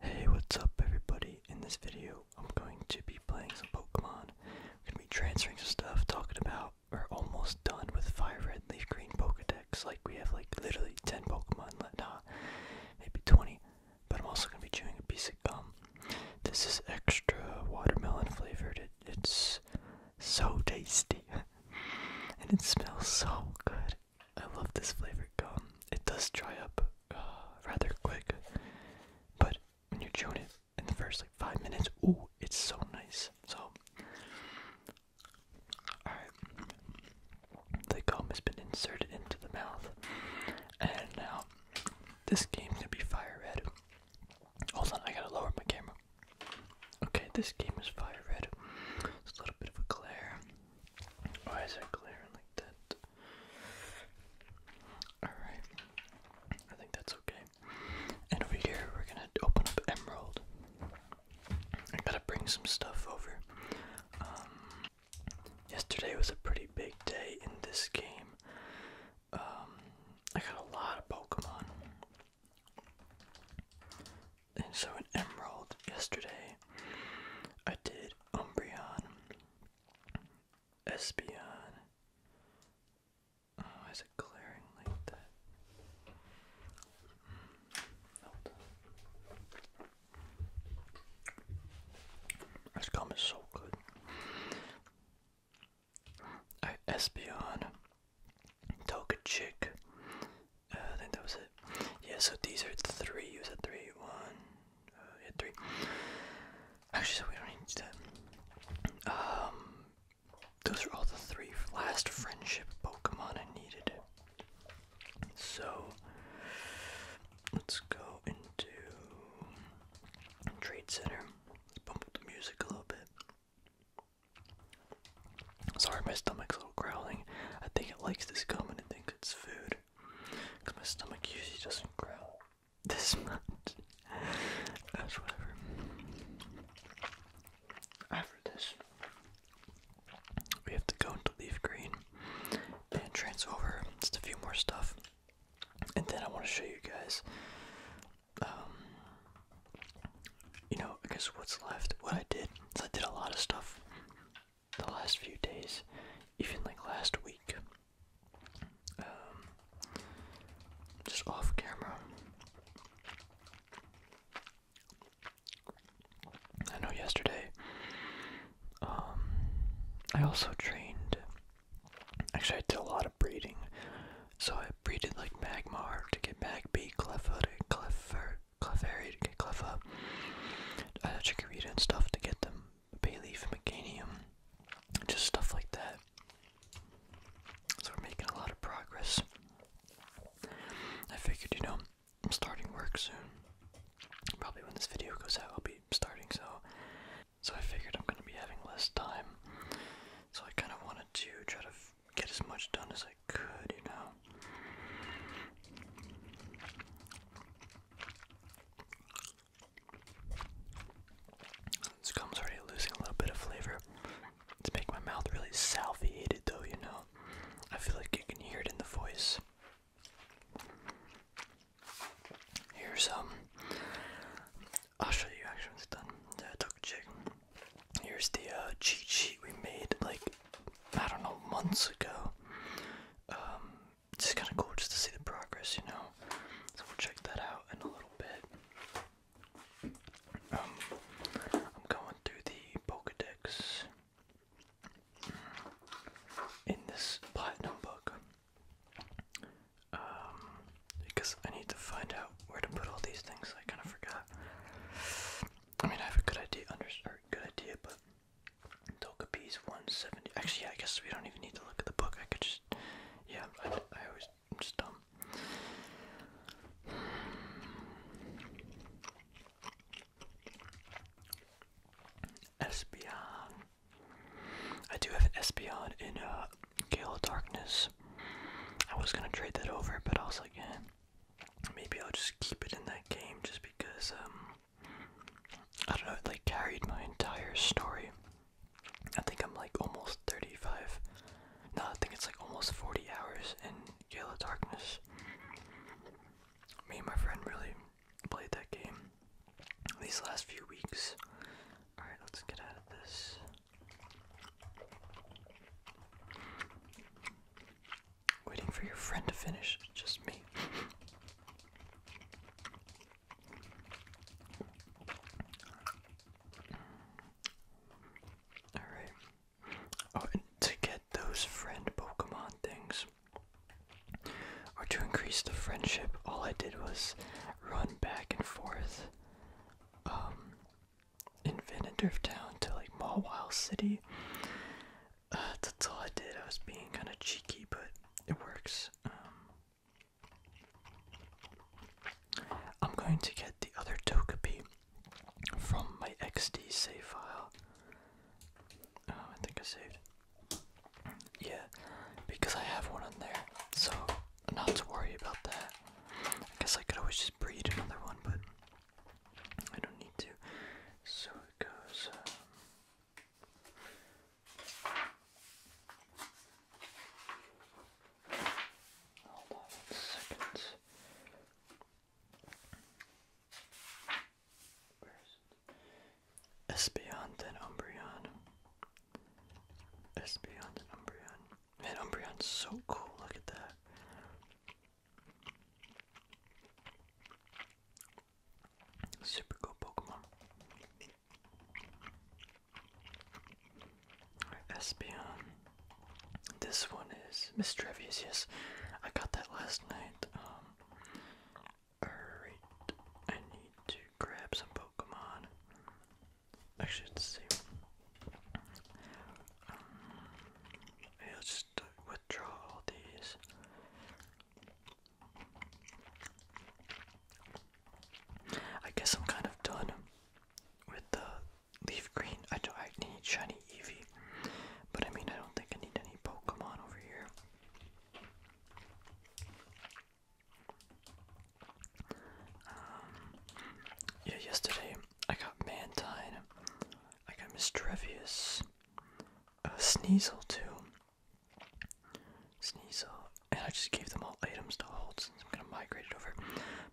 Hey, what's up everybody? In this video, I'm going to be playing some Pokemon. We're going to be transferring some stuff, talking about, we're almost done with Fire Red Leaf Green Pokedex. Like, we have like literally 10 Pokemon left, nah, maybe 20. But I'm also going to be chewing a piece of gum. This is extra watermelon flavored. it's so tasty. and it smells so good. I love this flavored gum. It does dry up uh, rather quick, but when you chew it in the first like five minutes, ooh, it's so nice. So, alright, the gum has been inserted into the mouth, and now this game going be fire red. Hold on, I gotta lower my camera. Okay, this game is fire red. It's a little bit of a glare. Why is it glaring like that? Alright. I think that's okay. And over here we're gonna open up Emerald. I gotta bring some stuff over. Um, yesterday was a pretty big day in this game. Um, I got a lot of Pokemon. And so in Emerald yesterday I did get Umbreon, Espeon. Oh, is it glaring like that? Hmm, this gum is so good. I Espeon, Togechick, uh, I think that was it. Yeah, so these are the three. You said three. One, uh, yeah, three. Actually, so we don't need that. Um, those are all the three last friendship Pokemon I needed. So, let's go into Trade Center. Let's bump up the music a little bit. Sorry, my stomach's a little growling. I think it likes this gum and it thinks it's food. Cause my stomach usually doesn't growl this much. That's whatever. After this, we have to go into Leaf Green and trans over just a few more stuff. And then I want to show you guys, um, you know, I guess what's left. What I did is I did a lot of stuff the last few days, even like last week. Um, just off camera. I know yesterday, um, I also trained. Actually, I did a lot of breeding. So I breeded like Magmar to get Magpie, Clefairy, Clefairy, Clefairy to get Cleffa, uh, Chikorita and stuff to get them, Bayleaf, Meganium, just stuff like that. So we're making a lot of progress. I figured, you know, I'm starting work soon. Probably when this video goes out, I'll be starting, so so I figured I'm gonna be having less time. So I kind of wanted to try to get as much done as I could, you know. This gum's already losing a little bit of flavor. It's making my mouth really salviated though, you know. I feel like you can hear it in the voice. Here's um I'll show you actually it's done. Yeah, took a chick. Here's the uh, cheat sheet we made like I don't know, months ago. Um, it's just kind of cool just to see the progress, you know. So we'll check that out in a little bit. Um, I'm going through the Pokedex in this Platinum book. Um, because I need to find out where to put all these things. I kind of forgot. I mean, I have a good idea, under good idea, but Togepi's 170. Actually, yeah, I guess we don't even need to look at the book. I could just. Yeah, I, always. am just dumb. Espeon. I do have an espion in uh, Gale of Darkness. I was gonna trade that over, but I was like, yeah, maybe I'll just keep it in that game just because um, I don't know, it like carried my entire story. I think I'm like almost 35. No, I think it's like almost 40 hours in Yellow Darkness. Me and my friend really played that game these last few weeks. Alright, let's get out of this. Waiting for your friend to finish, just me. Alright. Oh, to get those friend Pokemon things, or to increase the friendship, all I did was run back and forth um, in Vandendurf Town to like Mawile City. that's all I did. I was being kind of cheeky, but it works. Um, I'm going to get the other Togepi from my XD save file. Oh, I think I saved. Yeah, because I have one in there, so not to worry about that. I guess I could always just breed another one, but I don't need to. So um, it goes. Espeon and Umbreon. Espeon and Umbreon. Man, Umbreon's so cool. Look at that. Super cool Pokemon. Right, This one is Mistrevious, yes. I got that last night. Um, alright, I need to grab some Pokemon. Actually, um, let's see just withdraw these. I guess I'm kind of done with the leaf green. I don't I need shiny Eevee. But I mean I don't think I need any Pokemon over here. Um, yeah yesterday I got Mantine. I got Mistrevious uh, Sneasel too. Sneasel, and I just gave them all items to hold since I'm gonna migrate it over.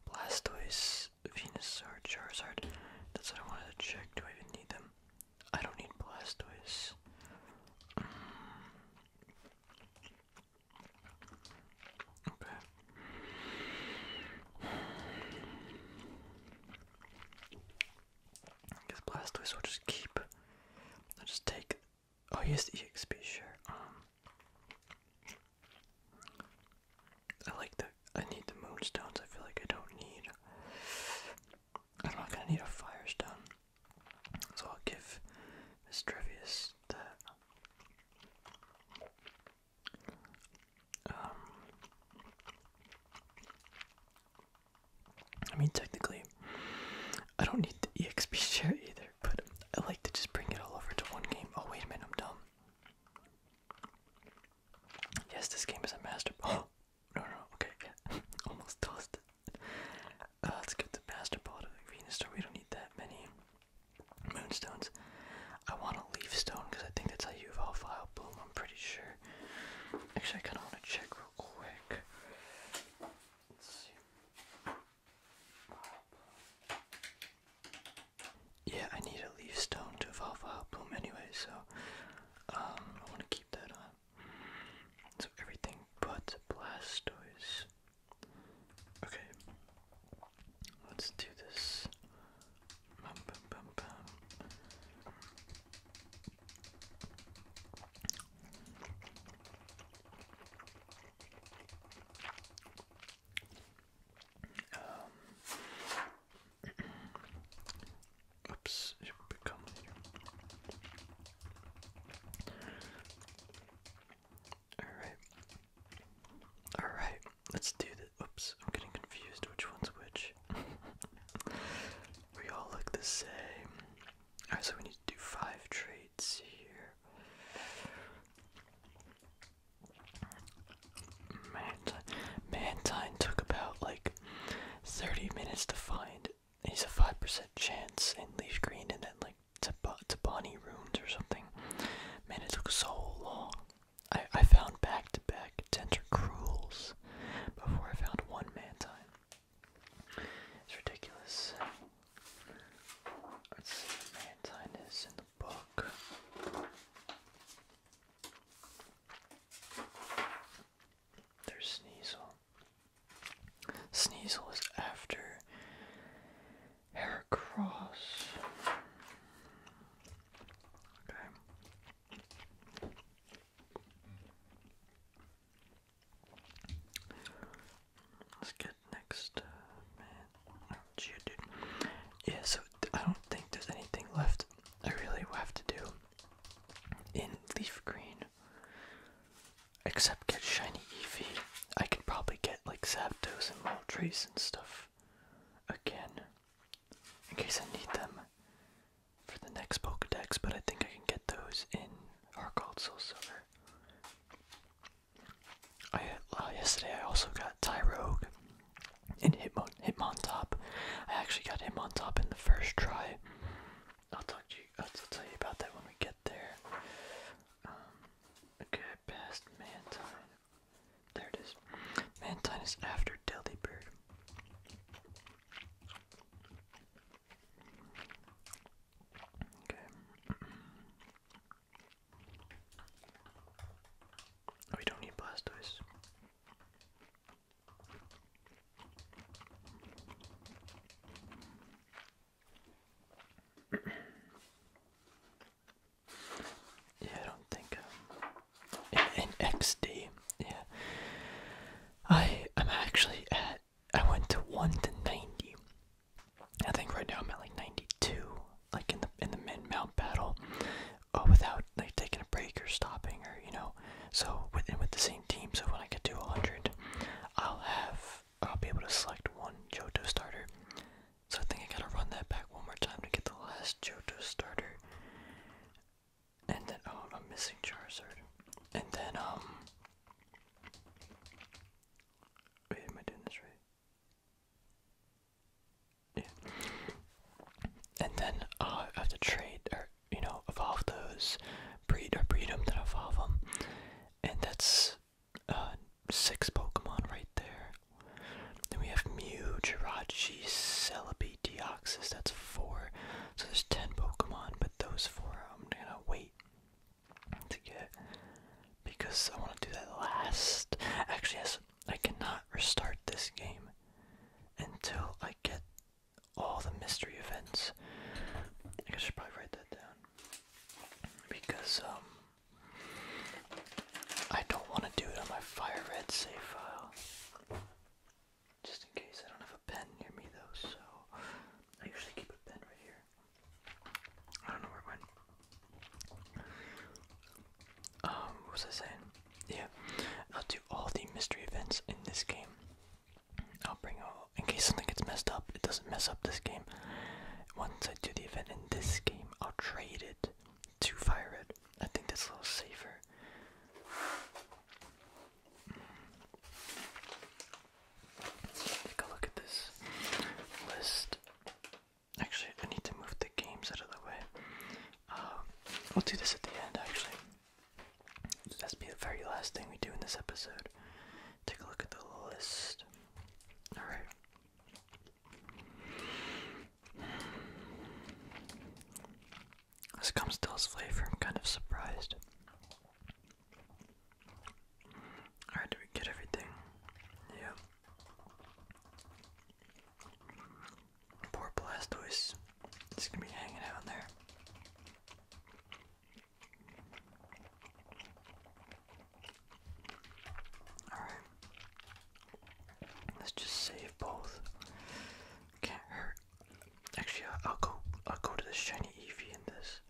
Blastoise, Venusaur, Charizard. That's what I wanted to check. Do I even need them? I don't need Blastoise. Mm. Okay. I guess Blastoise will just keep. I'll just take. Oh, here's the EXP share. Um, I like the. I need the moonstones. I feel like I don't need. I'm not gonna need a firestone. So I'll give Mistrevious the. Um, I mean, technically, I don't need the EXP share either, but I like to just bring it all over to one game. Oh, wait a minute, I'm dumb. Yes, this game is a master. Oh, no, no, okay, almost tossed it. Uh, let's get the master ball to Venus We don't need that many moonstones. I want a leaf stone because I think that's how you evolve File Bloom, I'm pretty sure. Actually, I kind of want to check real quick. Yeah, I need a leaf stone to evolve a bloom anyway, so um, I want to keep that on. So everything but Blastoise. Okay, let's do this Bum, bum, bum, bum. Um, oops, it should become later. All right, all right, let's do this. Oops, I'm getting confused which one's which. we all look the same. Alright, so we need to do five traits here. Mant Mantine took about like 30 minutes to find. He's a 5% chance and Leaf Green and then like to Bonnie Rooms or something. Man, it took so long. I, I found back to back cruels before I found one time. It's ridiculous. Let's see what mantine is in the book. There's Sneasel. Sneasel is after Heracross. Okay. Let's get next, uh, Yeah, so I don't think there's anything left. I really have to do in leaf green, except get shiny Eevee. I could probably get like Zapdos and Moltres and stuff again in case I need them for the next Pokedex, but I think I can get those in Arcald Soul Silver. I, uh, yesterday I also got Tyrogue and Hitmon Hitmontop. I actually got Hitmontop in the first try. I'll talk to you. I'll tell you about that when we get there. Um, okay, past Mantine. There it is. Mantine is after Delibird. Okay. We don't need Blastoise. yeah, I don't think um, in, XD. Yeah, I I'm actually at. I went to one to ninety. I think right now I'm at like ninety two, like in the in the mid mount battle, uh, without like taking a break or stopping or you know. So within with the same team, so when I get to hundred, I'll have I'll be able to select one Johto starter. So I think I gotta run that back one more time to get the last Johto starter. And then, oh, I'm missing Charizard. And then, um. Wait, am I doing this right? And then, uh, I have to trade, or, you know, evolve those, breed, or breed them, to evolve them. And that's, uh, six Pokemon right there. Then we have Mew, Jirachi, Celebi, Deoxys. That's four. So there's ten Pokemon, but those four I'm gonna wait to get because I want to do that last. Actually, yes, I cannot restart this game until I get all the mystery events. I should probably write that down because um. I don't want to do it on my fire red save file. Just in case, I don't have a pen near me though, so I usually keep a pen right here. I don't know where it went. Um, what was I saying? Yeah, I'll do all the mystery events in this game. I'll bring all, in case something gets messed up, it doesn't mess up this game. Once I do the event in this game, I'll trade it to Fire it. I think that's a little safer. Take a look at this list. Actually, I need to move the games out of the way. Um, we'll do this at the end, actually. That's be the very last thing we do in this episode. Take a look at the list. Alright. This comes Comstell's flavor, I'm kind of surprised. Alright, did we get everything? Yeah. Poor Blastoise. It's gonna be hanging out there. Alright. Let's just save both. Can't hurt. Actually, I'll go. I'll go to the shiny Eevee in this.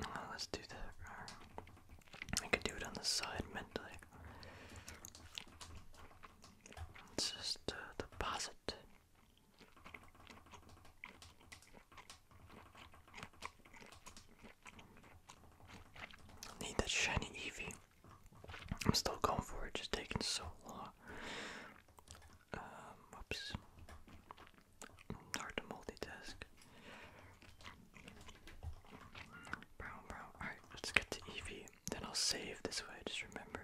Uh, let's do that. Uh, I could do it on the side mentally. It's just uh, deposit. Need that shiny Eevee. I'm still going for it, just taking so long. Um, Hard to multitask. Brown, brown. Alright, let's get to Eevee. Then I'll save this way, just remember.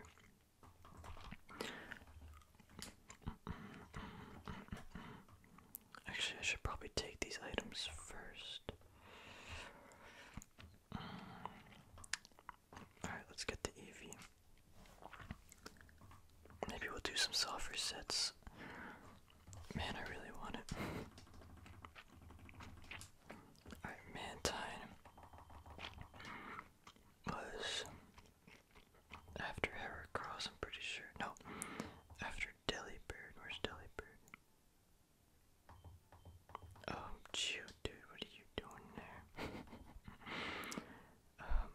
Actually, I should probably take these items first. Alright, let's get the Eevee. Maybe we'll do some soft resets. Man, I really want it. Alright, Mantine was after Heracross, I'm pretty sure. No, after Delibird. Where's Delibird? Oh, dude, what are you doing there? Um,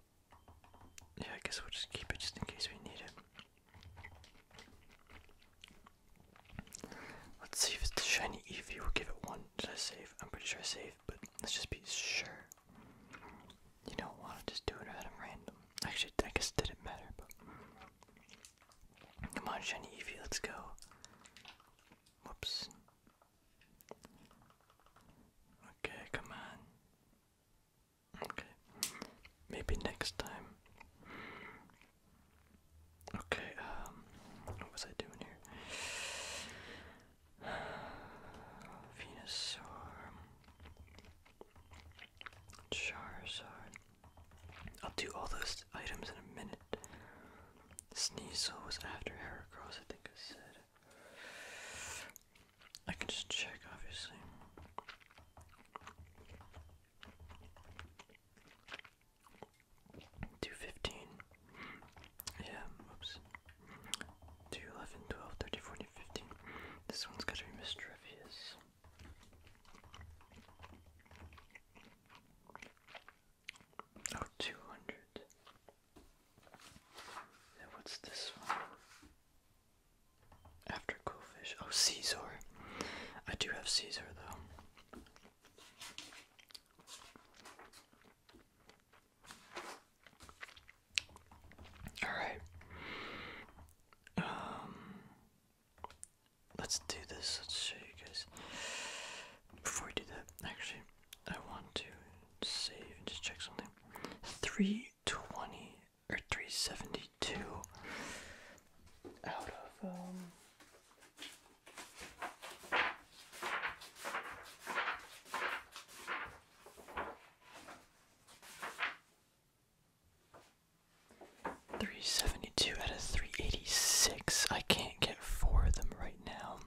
yeah, I guess we'll just keep it just in case we need it. Let's see if it's the shiny EV. We'll give it one. Did I save? I'm pretty sure I saved, but let's just be sure. You don't want to just do it random. Actually, I guess didn't matter, but Come on, shiny Eevee, let's go. Whoops. Okay, come on. Okay. Maybe next time. Okay, um, what was I doing here? Venusaur. Charizard. I'll do all those items in a minute. Sneasel was after Heracross, I think I said. I can just check, obviously. Two fifteen. Yeah, oops. Two eleven, twelve, thirty, forty, fifteen. This one's gotta be Miss Trevius. Oh, 200. And what's this one? After Coolfish. Oh, Caesar. I do have Caesar, though. Alright. Um, Let's do this. Let's show you guys. Before we do that, actually, I want to save and just check something. 320 or 372 out of, um, 372 out of 386. I can't get four of them right now.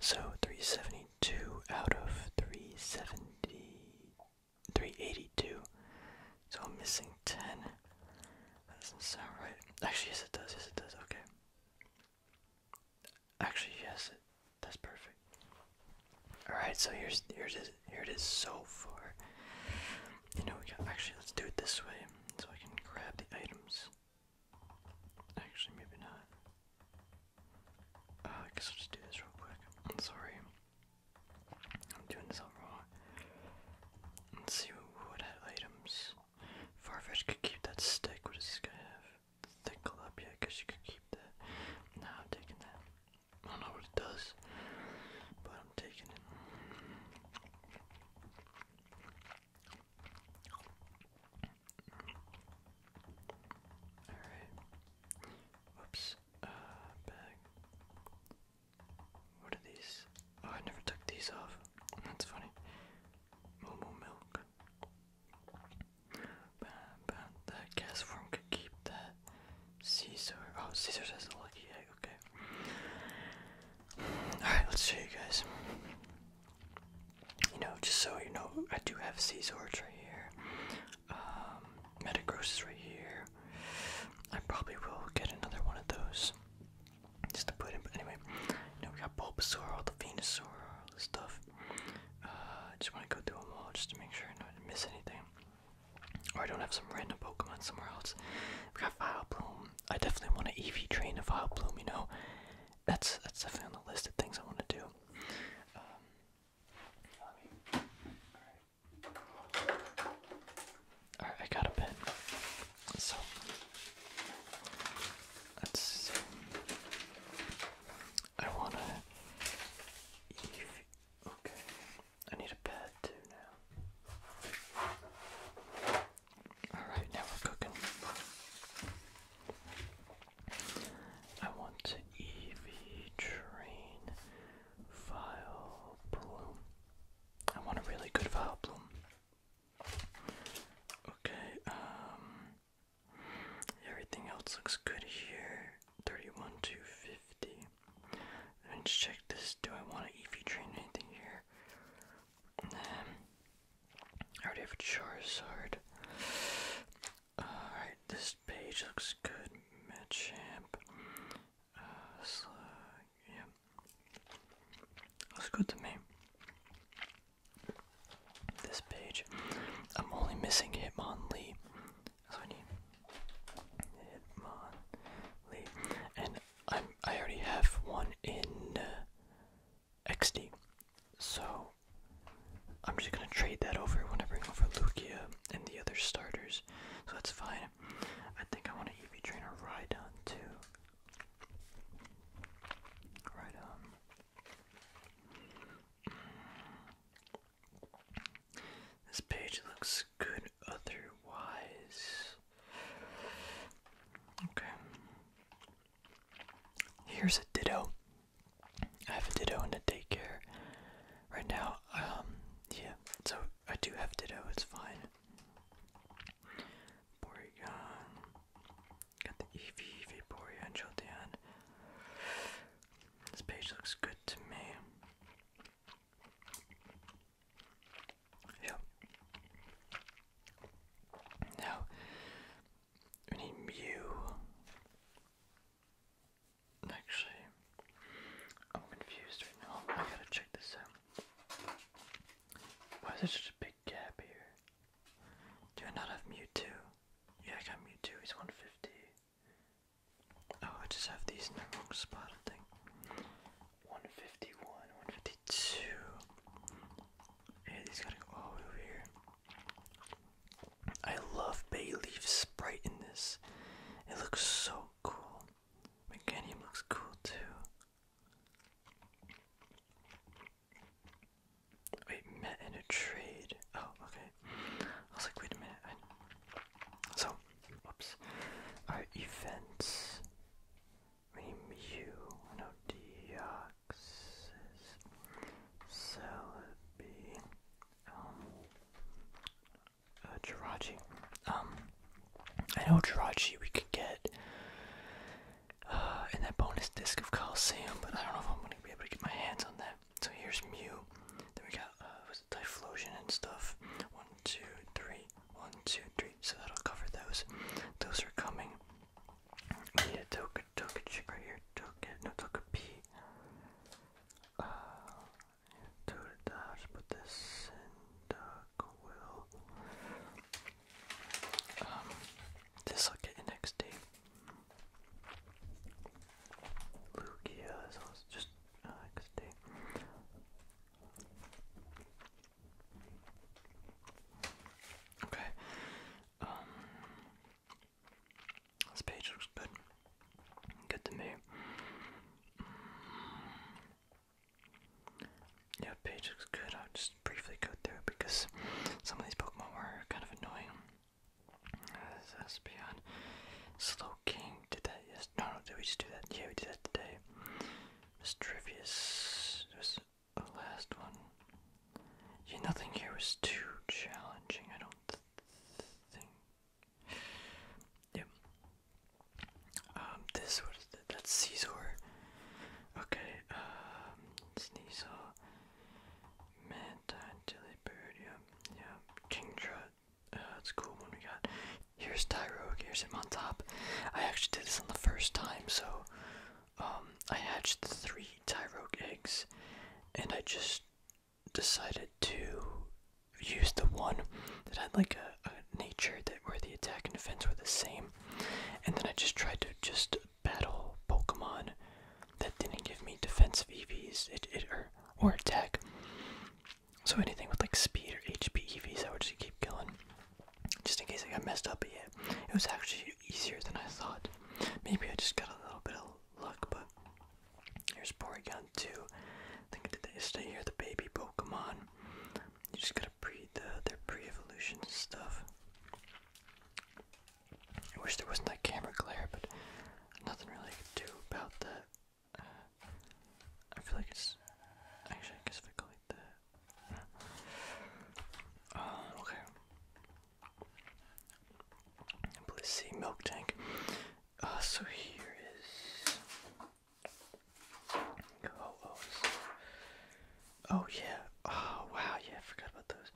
So 372 out of 370, 382. So I'm missing 10. That doesn't sound right. Actually, yes, it does. Yes, it does. Okay. Actually, yes, it, that's perfect. All right, so here's here's it, here it is so far. You know, we got, actually, let's do it this way so I can grab the items. Actually, maybe not. Uh, I guess I'll just do this real quick. I'm sorry. I'm doing this all wrong. Let's see what items. Farfetch could keep that stick. What does this guy have? Thick up, yeah, I guess you could keep that. Nah, I'm taking that. I don't know what it does, but I'm taking it. Alright. Whoops. Uh, bag. What are these? Oh, I never took these off. That's funny. Momo milk. that gas form could keep that. Caesar. Oh, Caesar says a lucky egg. Okay. All right, let's show you guys. You know, just so you know, I do have Caesar right here. Um, Metagross is right here. I probably will get another one of those just to put in. But anyway, you know, we got Bulbasaur, all the Venusaur, all the stuff. Uh, I just want to go through them all just to make sure I don't miss anything. Or I don't have some random Pokemon somewhere else. We got Vileplume. I definitely want to EV train a Vileplume, you know. That's that's definitely on the list of things I want to do. Um, all right. I got a pen. So let's see. I wanna. Okay. I need a bed too now. Alright, now we're cooking. I want to EV train file bloom. I want a really good file bloom. Okay, um, everything else looks good here. Thirty one to let just check this. Do I want to EV train anything here? I already have a Charizard. Alright, this page looks good. Machamp. Champ, uh, Slug. Yeah. Looks good to me. This page. I'm only missing Hitmonlee that's I need. Hitmonlee. And i I already have one in uh, XD. So I'm just gonna trade that over when I bring over Lugia and the other starters. So that's fine. I think I want to EV train a Rhydon too. Rhydon. This page looks good otherwise. Okay. Here's a ditto. I have a ditto in a daycare right now. Um, yeah, so I do have ditto, it's fine. Porygon. Uh, got the Eevee, Eevee, Porygon, Jolteon. This page looks good to me. Ja. Now, we need Mew. Actually, I'm confused right now. I gotta check this out. Why is there such a big gap here? Do I not have mute too? Yeah, I got mute too. He's 150. Oh, I just have these in the wrong spot, I think. 151, 152. Yeah, these gotta go all the way over here. I love bay leaf sprite in this. It looks so cool. Meganium looks cool too. Wait, met in a trade. Oh, okay. I was like, wait a minute. So, Whoops. Our events. Remu, no Deoxys, Celebi, um, uh, Jirachi. Um, I know Jirachi we could get uh, in that bonus disc of Coliseum, but I don't know if I'm going to be able to get my hands on that. So here's Mew. Then we got, uh, Typhlosion and stuff? two, three, one, two, three. So that'll cover those. Those are coming. We need chick right here. Token, no token P. Uh, to the dash, put this in um, this I'll get next day. Lugia, so just NXT. Okay. Um, this page looks good. Good to me. Mm. Yeah, page looks good. I'll just briefly go through because some of these Pokemon were kind of annoying. Uh, this Espeon, Slowking, did that yes no no did we just do that? Yeah we did that today. trivial. Trivius was the last one. Yeah nothing here was too challenging I don't think. Yep. Um this what is that? That's Caesar. Okay, um Sneasel Manta Dilly Bird, yeah, yeah. Kingdra uh, that's cool one we got. Here's Tyrogue, here's him on top. I actually did this on the first time, so um, I hatched three Tyrogue eggs, and I just decided to use the one that had like a, nature that where the attack and defense were the same, and then I just tried to just battle Pokemon that didn't give me defensive EVs it, it, or, or attack. So anything with like speed or HP EVs, I would just keep killing, just in case I got messed up. But it was actually easier than I thought. Maybe I just got a little bit of luck, but here's Porygon 2. I think I did that yesterday. Here, the baby Pokemon. You just gotta breed the, their pre-evolution stuff. I wish there wasn't that camera glare, but nothing really I could do about that. I feel like it's actually I guess if I go like that. Uh, okay. Please milk tank. Uh, so here is Ho-Ohs. Oh, oh yeah. Oh wow. Yeah, I forgot about those.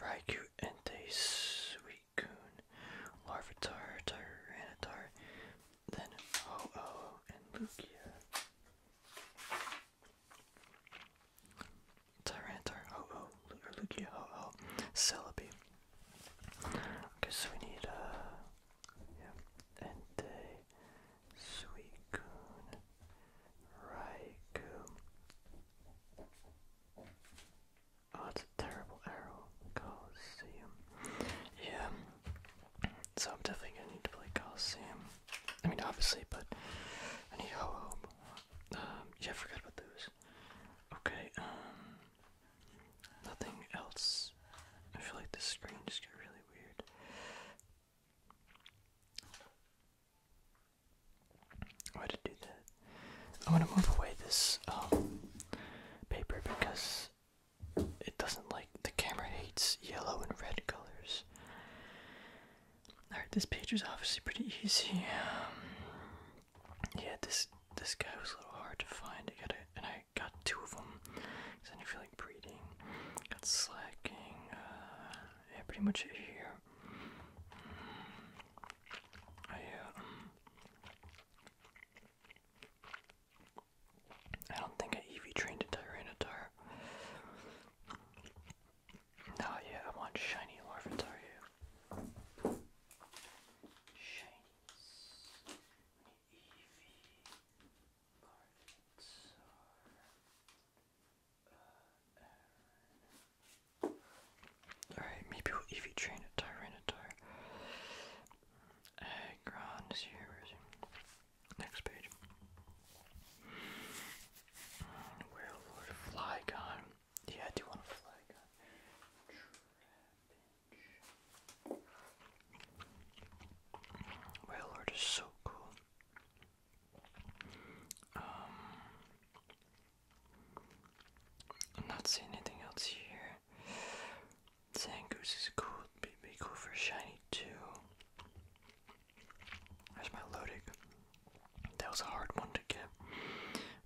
Raikou and Sui Suicune, Larvitar, Tyranitar, then Ho-Oh, and Lugia. Tyranitar, Ho-Oh, or Lugia, Ho-Oh, Celebi. Okay, so we need, uh, yeah, Entei, Suicune, Raikou, Oh, it's a terrible arrow. Coliseum. Yeah. So I'm definitely gonna need to play Coliseum. I mean, obviously, but I Um, yeah, forgot about those. Okay, um. Nothing else. I feel like this screen just got really weird. I did it do that? I want to move away this um, paper because it doesn't like the camera hates yellow and red colors. Alright, this page was obviously pretty easy. Um, yeah, this this guy was a little hard to find. I got it, and I got two of them because I feel like breeding. Got slacking. Uh, yeah, pretty much it here. Mm. I um, I don't think I EV trained a Tyranitar. oh, yeah, I want shiny Larvitar. Shinies. EV uh, Alright, maybe we'll EV train a Tyranitar. Agron here, Next page. Mm, Werelord, Flygon. Yeah, I do want a Flygon. Trapinch. Werelord is so cool. I'm not seeing anything else here. Zangoose is cool. Be, be cool for shiny too. There's my Lodig. That was a hard one to get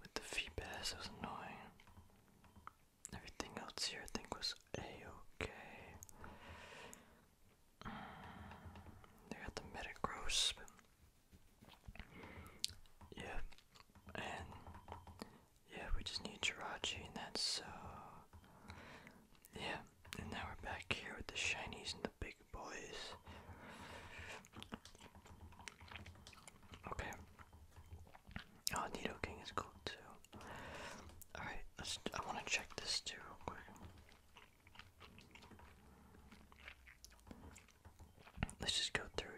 with the fee pass. It was annoying. Everything else here, I think, was a okay. Mm, they got the Metagross. Yep, yeah, we just need Jirachi and that's so uh, Yeah, and now we're back here with the shinies and the big boys. Okay. Oh Nido is cool too. Alright, let's I wanna check this too real quick. Let's just go through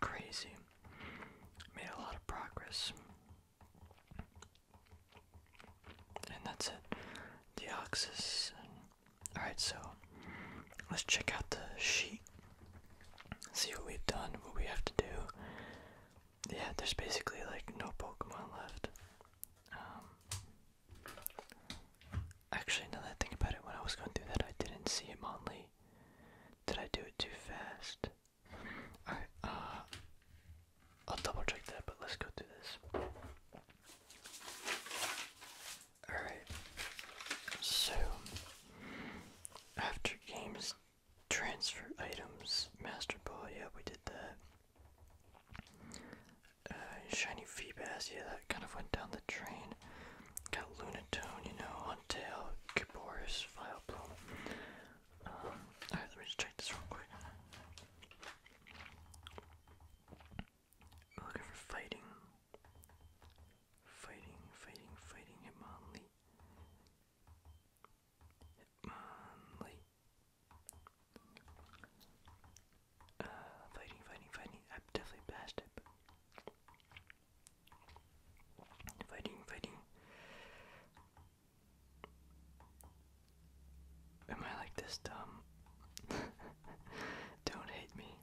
Crazy. Made a lot of progress. And that's it. Deoxys. Alright, so let's check out the sheet. See what we've done, what we have to do. Yeah, there's basically like no Pokemon left. Um, Actually, now that I think about it, when I was going through that, I didn't see him on Lee. Did I do it too fast? Alright, uh, I'll double check that, but let's go through this. Alright, so after games, transfer items, Master Ball, yeah, we did that. Uh, shiny Feebas, yeah, that kind of went down the drain. Got Lunatone, you know, Huntail, Kiboris, Fileplume. Um, Alright, let me just check this real quick. looking for fighting. Fighting, fighting, fighting, Hitmonlee. Hitmonlee. Uh, fighting, fighting, fighting. I'm definitely past it. Fighting, fighting. Am I like this dumb? Don't hate me.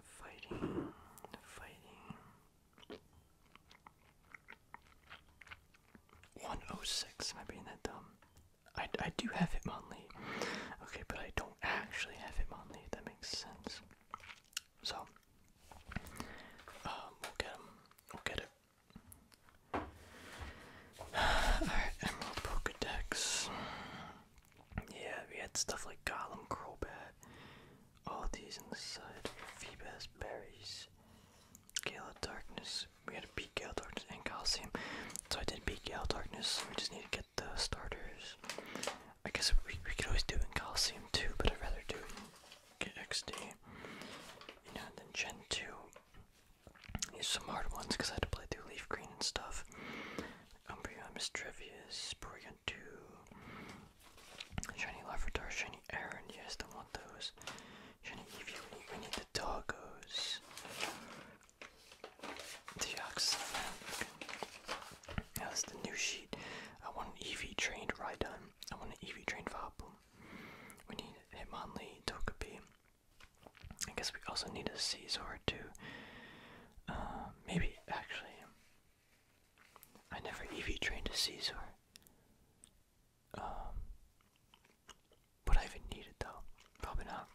Fighting, fighting. 106, am I being that dumb? I, I do have Hitmonlee. Okay, but I don't actually have Hitmonlee, if that makes sense. So, um, we'll get him. We'll get it. Alright, Emerald Pokedex. Yeah, we had stuff like Golem, Crobat, all these on the side. Feebas, Berries, Gale Darkness. We had to beat Darkness and Coliseum. So I did beat Gale of Darkness. We just need to get the starters. I guess we, we could always do in Coliseum too, but I'd rather do XD. You know, and then Gen 2. These some hard ones because I had to play through Leaf Green and stuff. Umbreon, is Mistrevious, Porygon 2, Shiny Larvitar, Shiny Aaron, yes, don't want those. Shiny Eevee, we need, the doggos. Deoxys, okay. the new sheet. I want an EV trained Rhydon. I want an EV trained Vaporeon. We need Hitmonlee, Togepi. I guess we also need a Caesar too. Uh, maybe actually, I never EV trained a Caesar. Um, would I even need it though? Probably not.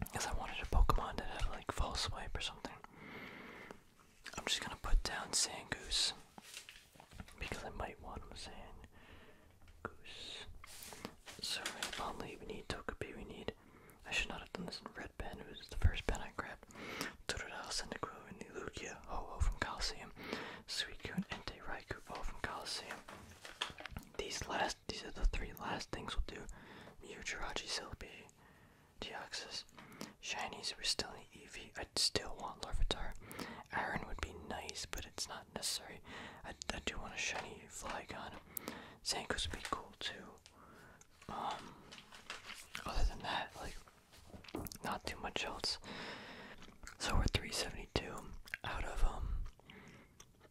Because I wanted a Pokemon that had like false swipe or something. I'm just gonna put down Sandgoose Because I might want him Sangoose. So Bonley, we need Togepi, we need I should not have done this in red pen, it was the first pen I grabbed. Totodile, Cyndaquil, and the Lugia, ho from Coliseum, Suicune, Entei, Raikou, all from Coliseum. These last these are the three last things we'll do. Mucurachi Silpy, Deoxys. Shinies we're still in Eevee. i still want Larvitar. Iron would be nice, but it's not necessary. I, do want a shiny Flygon. Zankus would be cool too. Um, other than that, like not too much else. So we're 372 out of um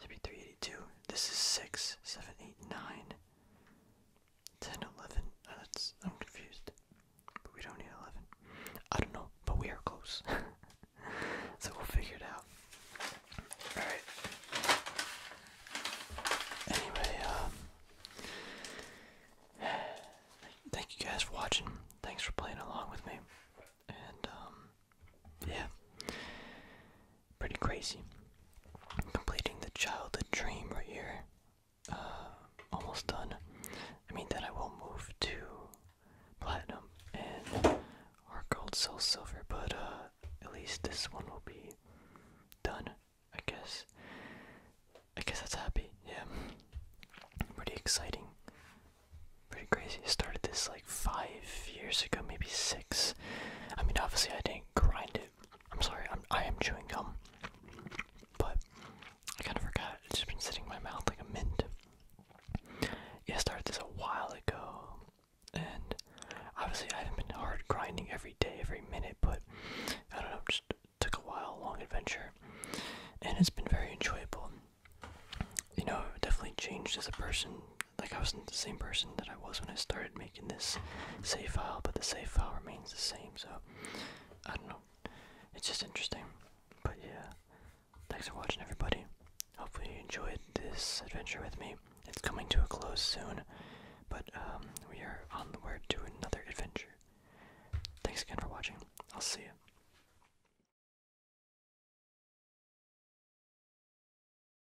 Should be 382. This is 6, 7, 8, 9, 10, 11. that's, I'm confused. But we don't need 11. I don't know, but we are close. so we'll figure it out. Alright. Anyway, um, thank you guys for watching. Thanks for playing along with me. And, um, yeah pretty crazy. Completing the childhood dream right here. Uh, almost done. I mean, that I will move to platinum and our gold, soul, silver, but uh, at least this one will be done, I guess. I guess that's happy, yeah. Pretty exciting. Pretty crazy. I started this like five years ago, maybe six. I mean, obviously, I didn't saying grind it. I'm sorry, I'm, chewing gum. But I kind of forgot. It's just been sitting in my mouth like a mint. Yeah, started this a while ago. And obviously, I haven't been hard grinding every day, every minute, but I don't know, just took a while, long adventure. And it's been very enjoyable. You know, definitely changed as a person like I wasn't the same person that I was when I started making this save file, but the save file remains the same, so I don't know. It's just interesting. But yeah. Thanks for watching everybody. Hopefully you enjoyed this adventure with me. It's coming to a close soon, but um, we are on the onward to another adventure. Thanks again for watching. I'll see you.